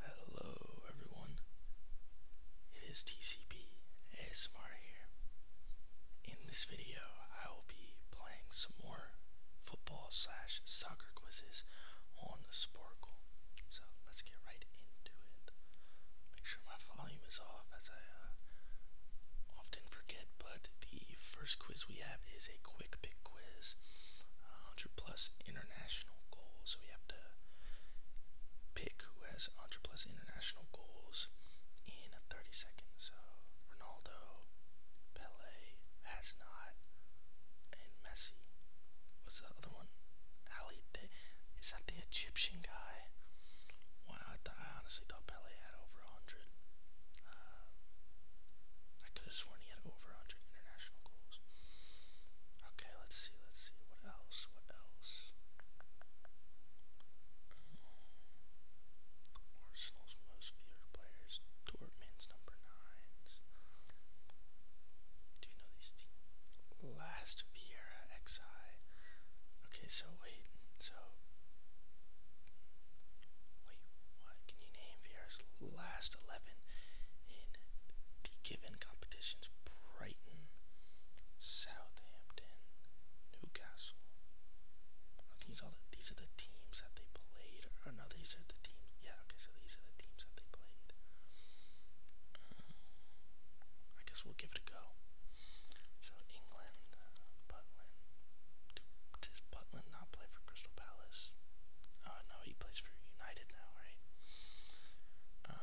Hello everyone, it is TCB ASMR here. In this video I will be playing some more football slash soccer quizzes on Sporkle. So let's get right into it. Make sure my volume is off as I uh, often forget, but the first quiz we have is a quick pick quiz. Um, 100 plus international goals. So we have to pick who has 100 plus international goals in 30 seconds. So Ronaldo, Pele has not, and Messi. What's the other one? Ali De- Is that the Egyptian guy? Wow, I, th- I honestly thought Pele had over 100. Uh, um, I could have sworn he had over 100 international goals. Okay, Okay, let's see, let's see. What else? What else? Arsenal's most feared players. Dortmund's number nines. Do you know these teams? Last Vieira XI. Okay, so wait, so wait, what? Can you name Vieira's last eleven? in given competitions Brighton, Southampton, Newcastle. These are the, these are the teams that they played, or oh, no, these are the teams. Yeah, okay, so these are the teams that they played. Um, I guess we'll give it a go. So England, uh, Butland. Does Butland not play for Crystal Palace? Oh no, he plays for United now, right? Uh,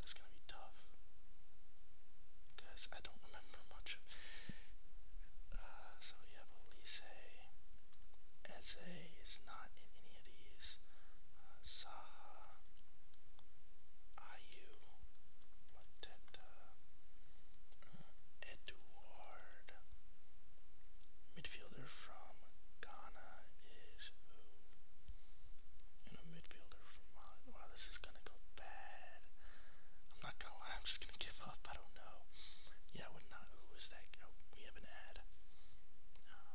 that's gonna be tough because I don't remember much. Of, uh, so we have Elise, Eze is not in any of these. Uh, Saha, Ayu, Mateta, uh, Eduard. Midfielder from Ghana is who? And a midfielder from Mali. Wow, this is gonna go bad. I'm not gonna lie, I'm just gonna give up. I don't know. Yeah, I would not. Who is that? Oh, we have an ad. Uh,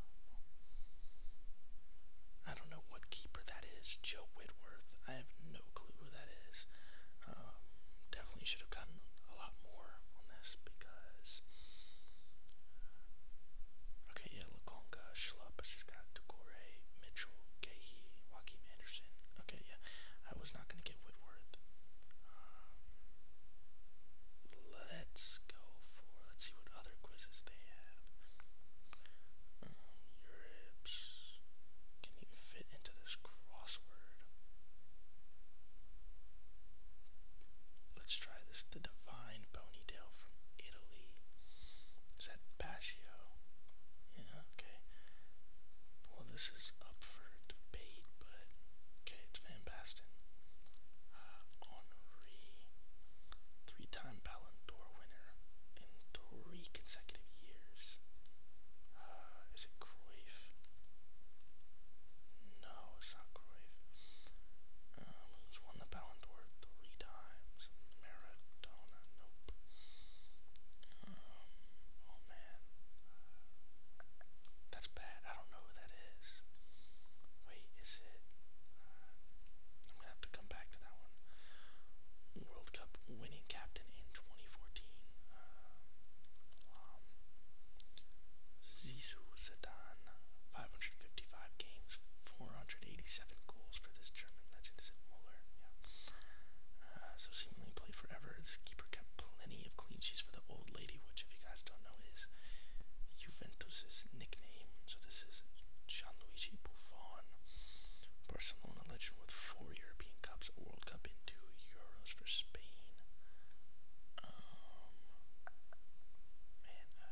I don't know what keeper that is. Joe Whitworth. I have no clue who that is. Um, definitely should have gotten a lot more on this because. Uh, okay, yeah, Lakonga, Schlupp, got Decore, Mitchell, Gahey, Joaquin Anderson. Okay, yeah, I was not going to get Whitworth. Um, let's go for, let's see what other quizzes they have. Um, Europe's can even fit into this crossword. Let's try this. The Divine Ponytail from Italy. Is that Bascio? Yeah, okay. Well, this is up for debate, but okay, it's Van Basten. Uh, Henri, three-time Ballon d'Or winner in three consecutive years. Uh, is it Cruyff? No, it's not Cruyff. Uh, um, who's won the Ballon d'Or three times? Maradona, nope. Um, oh man. That's bad. I don't know who that is. Wait, is it? Uh, I'm gonna have to come back to that one. World Cup winning captain in 2014. Um, um, Zizou Zidane, 555 games, 487 goals for this German legend. Is it Muller? Yeah. Uh, so seemingly played forever. This keeper kept plenty of clean sheets for the old lady, which if you guys don't know is Juventus' nickname. So this is Gianluigi Buffon, Barcelona legend with four European Cups, a World Cup, and two Euros for Spain. Um, man, uh,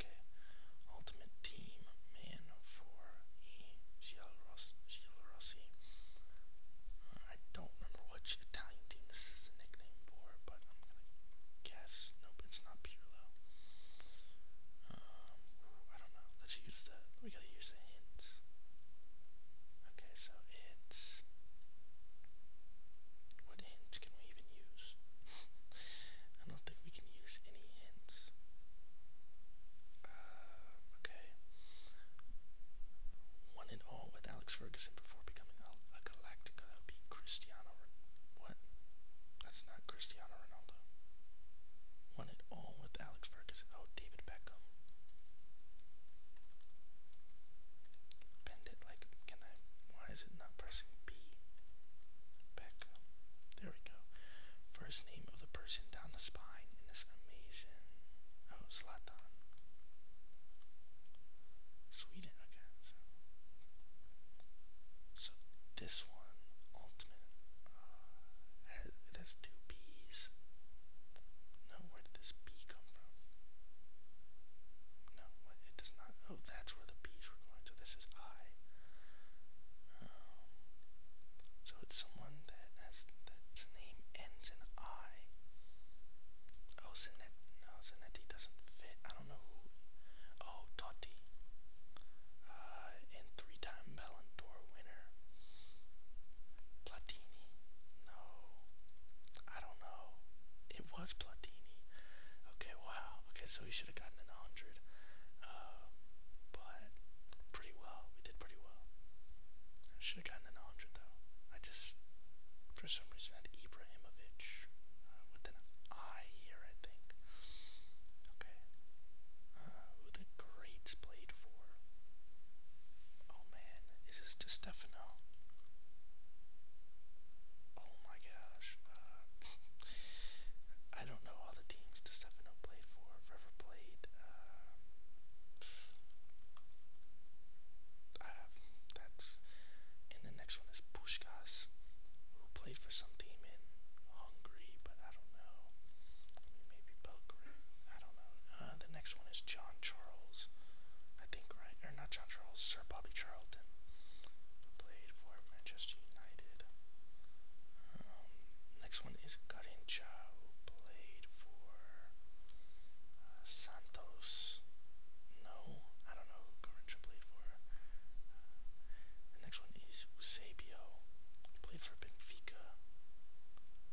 okay, ultimate team man for E. Rossi. I don't remember which Italian team this is the nickname for, but I'm gonna guess. Nope, it's not Pirlo. Um, I don't know. Let's use the. We gotta use the hints. Okay, so what hint can we even use? I don't think we can use any hints. Uh, okay. One and all with Alex Ferguson before becoming a, a That would be Cristiano. What? That's not Cristiano Ronaldo. One and all with Alex Ferguson. Oh, David Beckham. Bend it like, can I, why is it not pressing B? Back up. There we go. First name of the person down the spine in this amazing, oh, Zlatan. Sweden, okay. So, so this one, ultimate, uh, has, it has two B's. No, where did this B come from? No, it does not. Oh, that's where the Bs were going. So this is I. Um, so it's someone that has that's name ends in I. Oh, Zanetti. No, Zanetti doesn't fit. I don't know who. Oh, Totti. Uh, and three-time Ballon d'Or winner. Platini? No. I don't know. It was Platini. Okay, wow. Okay, so he should have gotten an 100. Uh, but pretty well. We did pretty well. I should have gotten an 100, though. I just, for some reason, had Ibrahimovic uh, with an I here, I think. Okay. Uh, who the greats played for? Oh man, is this to Stefano? Oh my gosh. Uh, I don't know all the teams to Stefano played for, if ever played. Uh, I have, that's, and the next one is Pushkas, who played for some team in Hungary, but I don't know. Maybe Belgrade. I don't know. Uh, the next one is John Charles, I think, right? Or not John Charles, Sir Bobby Charlton, who played for Manchester United. Um, next one is Garincha, who played for uh, Santos. No, I don't know who Garincha played for. Uh, the next one is Eusebio, who played for Benfica.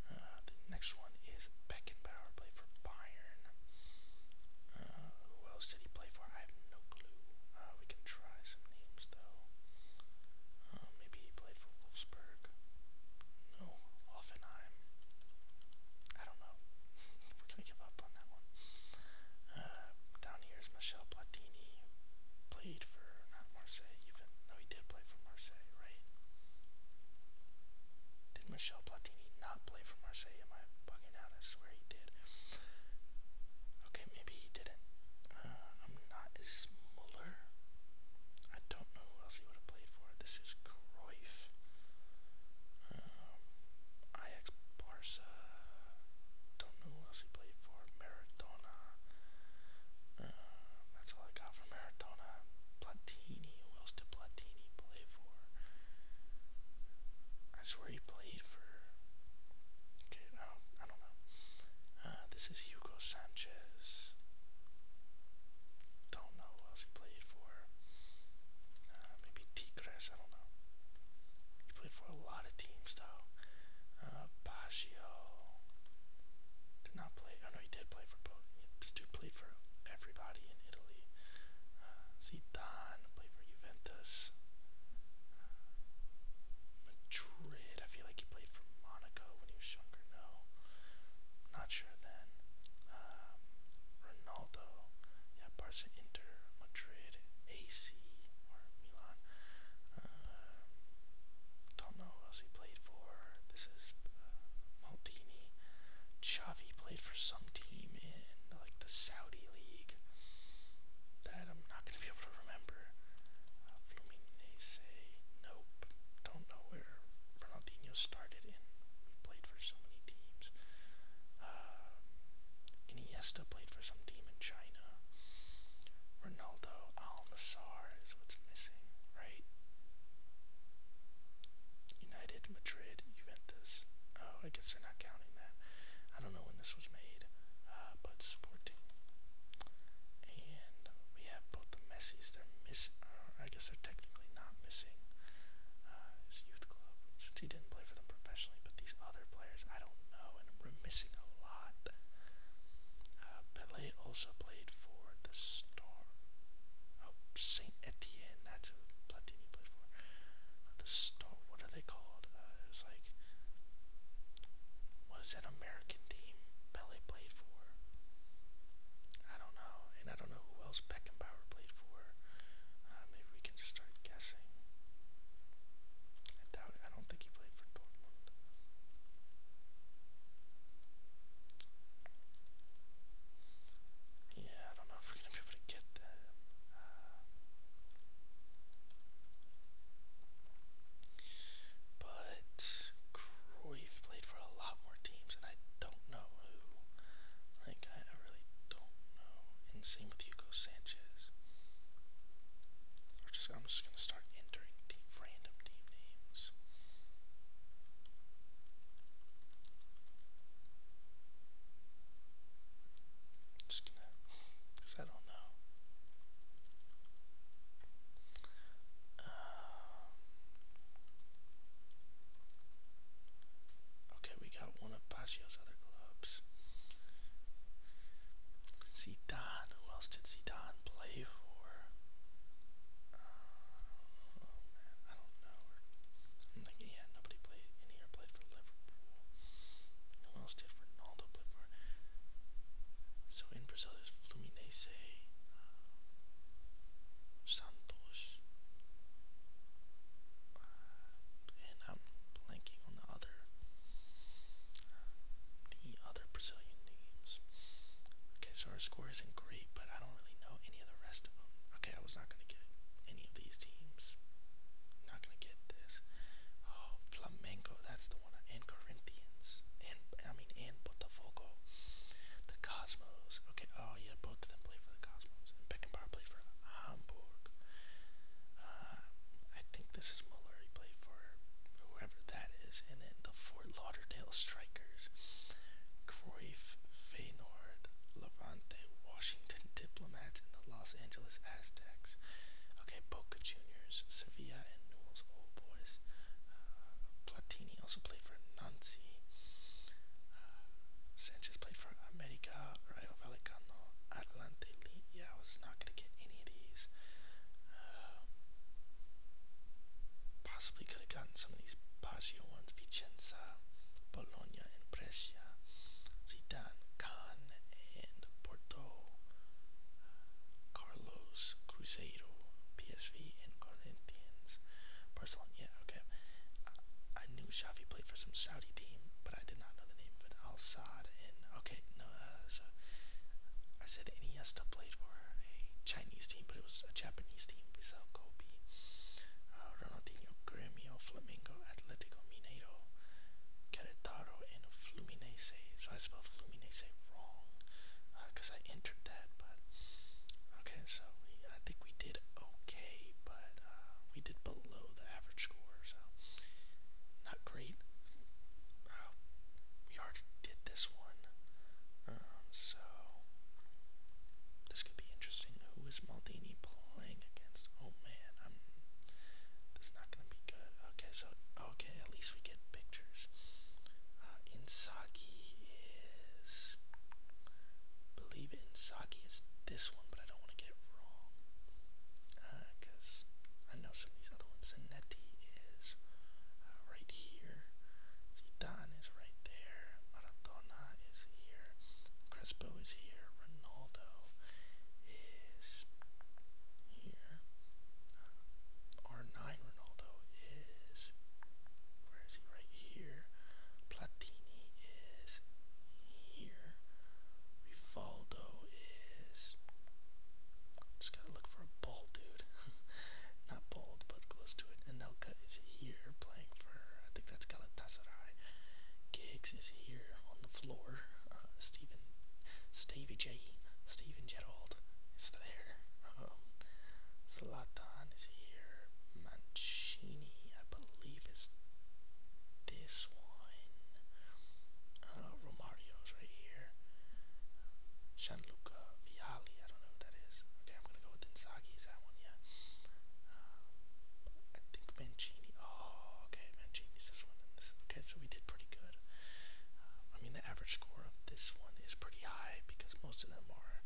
Uh, the next one is Beckenbauer played for Bayern. Uh, who else did he play for? I have no clue. Uh, we can try some names though. Uh, maybe he played for Wolfsburg. No, Offenheim. I don't know. We're gonna give up on that one. Uh, down here is Michel Platini, who played for not Marseille even. No, he did play for Marseille, right? Did Michel Platini not play for Marseille? Am I bugging out? I swear he did. Okay, maybe he didn't. Uh, I'm not. Is Muller? I don't know who else he would have played for. This is Cruyff. Um, Ajax, Barca. Don't know who else he played for. Maradona. Um, that's all I got for Maradona. Platini who else did Platini play for? I swear he played for. Okay, I don't, I don't know. Uh, this is Hugo Sanchez. Don't know who else he played for. Uh, maybe Tigres, I don't know. He played for a lot of teams though. Uh, Baggio did not play. Oh no, he did play for both. This dude played for everybody in Italy. Zidane uh, played for Juventus. Uh, Madrid, I feel like he played for Monaco when he was younger. No, not sure then. Um, Ronaldo, yeah, Barca, Inter, Madrid, AC or Milan. Um, don't know who else he played for. This is uh, Maldini. Chavi played for some team in like the Saudi league that I'm not going to be able to remember. Uh, Fluminense, nope, don't know where Ronaldinho started in. We played for so many teams. Uh, Iniesta played for some team in China. Ronaldo Al Nassar is what's missing, right? United, Madrid, Juventus. Oh, I guess they're not counting that. I don't know when this was made, uh, but Sporting. And we have both the Messis. They're missing. Uh, I guess they're technically not missing uh, his youth club since he didn't play for them professionally. But these other players, I don't know, and we're missing a lot. Uh, Pele also played for the Star. Oh, Saint Etienne. That's who Platini played for. the Star. What are they called? Uh, it was like. What is that American team Pele played for? I don't know, and I don't know who else Beckenbauer played for. Uh, maybe we can just start guessing. I doubt. It. I don't think he played for Dortmund. Yeah, I don't know if we're gonna be able to get that. but Cruyff played for a lot more teams, and I don't know who. I, really don't know. And same with Hugo Sanchez. I'm just gonna start entering random team names. Just gonna, because I don't know. Um, okay, we got one of Baggio's other clubs. Zidane. Who else did Zidane play for? Uh, oh, I don't know. Or, I'm thinking, yeah, nobody played in here played for Liverpool. Who else did Ronaldo play for? So in Brazil, there's Fluminense, uh, Santos, uh, and I'm blanking on the other, uh, the other Brazilian teams. Okay, so our score isn't great, but I don't really know any of the rest of them. Okay, I was not going to get any of these teams. Not going to get this. Oh, Flamengo, that's the one. And Corinthians. And, I mean, and Botafogo. The Cosmos. Okay, oh yeah, both of them play for the Cosmos. Beckenbauer played for Hamburg. Uh, I think this is Muller. He played for whoever that is. And then the Fort Lauderdale Strikers, Cruyff, Feyenoord, Levante, Washington Diplomats, and the Los Angeles Aztecs. Okay, Boca Juniors, Sevilla, and Newell's Old Boys. Uh, Platini also played for Nancy. Uh, Sanchez played for America, Rayo Vallecano, Atlante League. Yeah, I was not going to get any of these. Um, Possibly could have gotten some of these Baggio ones, Vicenza, Bologna, and Brescia, Zidane, Khan, and Porto, uh, Carlos, Cruzeiro, PSV, and Corinthians. Barcelona, yeah, okay. I, I knew Xavi played for some Saudi team, but I did not know the name of it. Al Saad, and okay, no, uh, so I said Iniesta played played for a Chinese team, but it was a Japanese team, Bissau Kobe, uh, Ronaldinho Grêmio, Flamengo, Atletico Mineiro, Querétaro, and Fluminense. So I spelled Fluminense wrong because uh, I entered that, but okay, so we, I think we did okay, but uh, we did below the average score, so not great. Uh, we already did this one. Um, so this could be interesting. Who is Maldini playing against? Oh man, I'm. This is not gonna be good. Okay, so okay, at least we get pictures. Uh, Insaki is. Believe it, Insaki is this one, but I don't want to get it wrong. Uh, cause I know some of these other ones. Zanetti is uh, right here. Zidane is right right there. Maradona is here. Crespo is here. Ronaldo is here. Uh, R9 Ronaldo is. Where is he? Right here. Platini is here. Rivaldo is. Just gotta look for a ball, dude. not bold, but close to it. Anelka is here playing for, I think that's Galatasaray. Giggs is here on the floor. Uh, Stephen, Stevie J, Stephen Gerald is there. Um, Zlatan is here. Mancini, I believe, is this one. Uh, Romario's right here. Gianluca Vialli, I don't know who that is. Okay, I'm gonna go with Insigne. Inzaghi is that one, yeah. Um, I think Mancini. Oh, okay, Mancini's this one. And this. Okay, so we did pretty good. Uh, I mean, the average score of this one is pretty high because most of them are,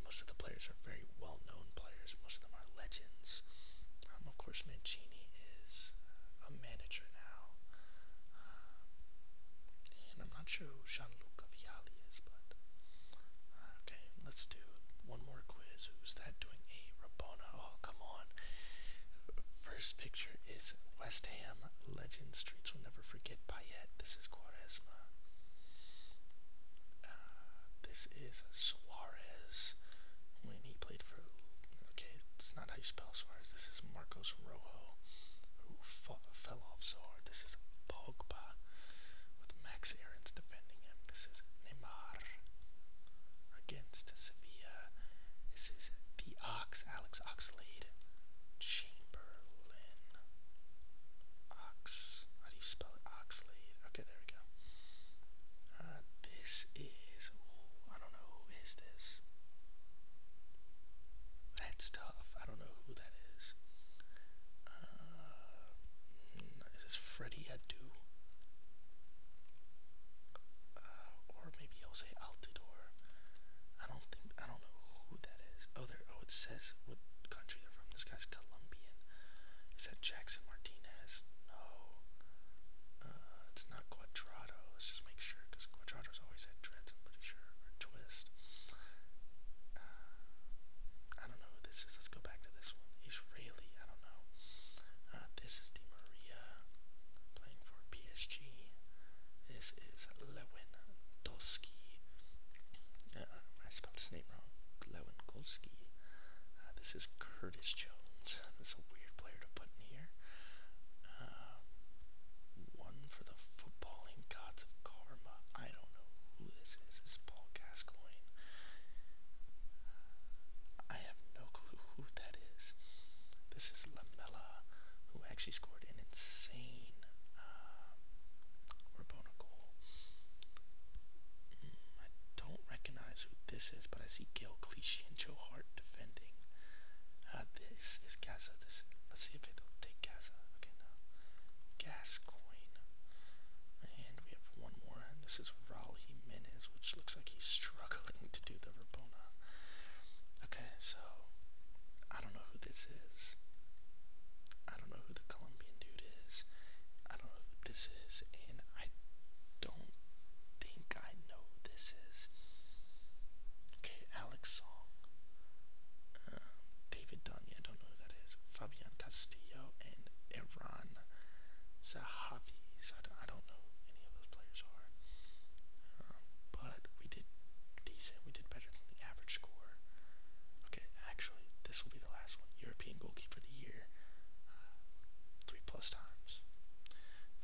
most of the players are very well-known players. Most of them are legends. Um, of course, Mancini is uh, a manager now. Um, and I'm not sure who Gianluca Vialli uh, okay, let's do one more quiz. Who's that doing a Rabona? Oh, come on. First picture is West Ham legend. Streets will never forget Payet. This is Quaresma. Uh, this is Suarez when he played for. Okay, it's not how you spell Suarez. This is Marcos Rojo, who fell off so this is Pogba with Max Aarons defending him. This is Neymar against Sevilla. This is the Ox, Alex Oxlade Chamberlain. Ox, how do you spell it? Oxlade. Okay, there we go. Uh, this is, I don't know, who is this? That's stuff. I don't know who that is. Uh, is this Freddie Adu? Uh, or maybe Jose Altidore. I don't think I don't know who that is. Oh, there. Oh, it says what country they're from. This guy's Colombian. Is that Jackson Martinez? No. Uh, it's not Quadrado. Let's just make sure, because Quadrado's always had dreads. I'm pretty sure, or twist. I don't know who this is. Let's go back to this one. Israeli, I don't know. Uh, this is Di Maria playing for PSG. This is Lewandowski. Uh, I spelled his name wrong. Lewandowski. Uh, this is Curtis Jones. This is a weird player to put in here. Uh, one for the footballing gods of karma. I don't know who this is. This is Paul Gascoigne. I have no clue who that is. This is Lamella, who actually scored an insane uh, Rabona goal. Mm, I don't recognize who this is, but I see Gail Clichy and Joe Hart defending. Uh, the, this is Gaza. This let's see if it'll take Gaza. Okay, no. Gas coin. And we have one more, and this is Raul Jimenez, which looks like he's struggling to do the Rabona. Okay, so I don't know who this is. I don't know who the Colombian dude is. I don't know who this is, and I don't think I know who this is. Okay, Alex Song. Um, David Dunya, I don't know who that is, Fabian Castillo, and Iran Zahavi. So I, don't, I don't know who any of those players are. Um, but we did decent. We did better than the average score. Okay, actually, this will be the last one. European goalkeeper of the year. Uh, three plus times.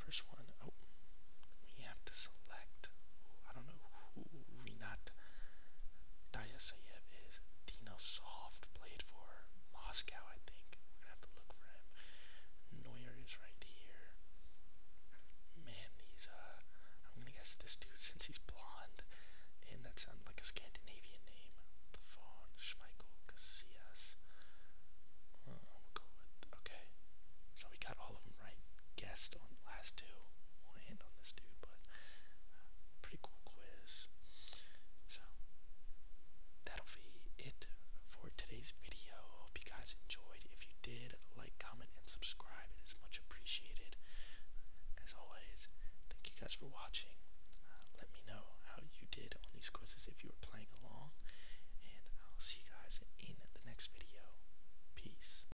First one, oh, we have to select. I don't know who Renat Diasayev is Dinosoft played for Moscow, I think. We're gonna have to look for him. Neuer is right here. Man, he's uh I'm gonna guess this dude since he's blonde. And that sounds like a Scandinavian name. Buffon, Schmeichel, Casillas. Uh, we'll go with okay. So we got all of right guessed on last two. We'll end on this dude, but uh, pretty cool quiz. So that'll be it for today's video. Hope you guys enjoyed. If you did, like, comment, and subscribe. It is much appreciated. As always, thank you guys for watching. Uh, let me know how you did on these quizzes if you were playing along, and I'll see you guys in the next video. Peace.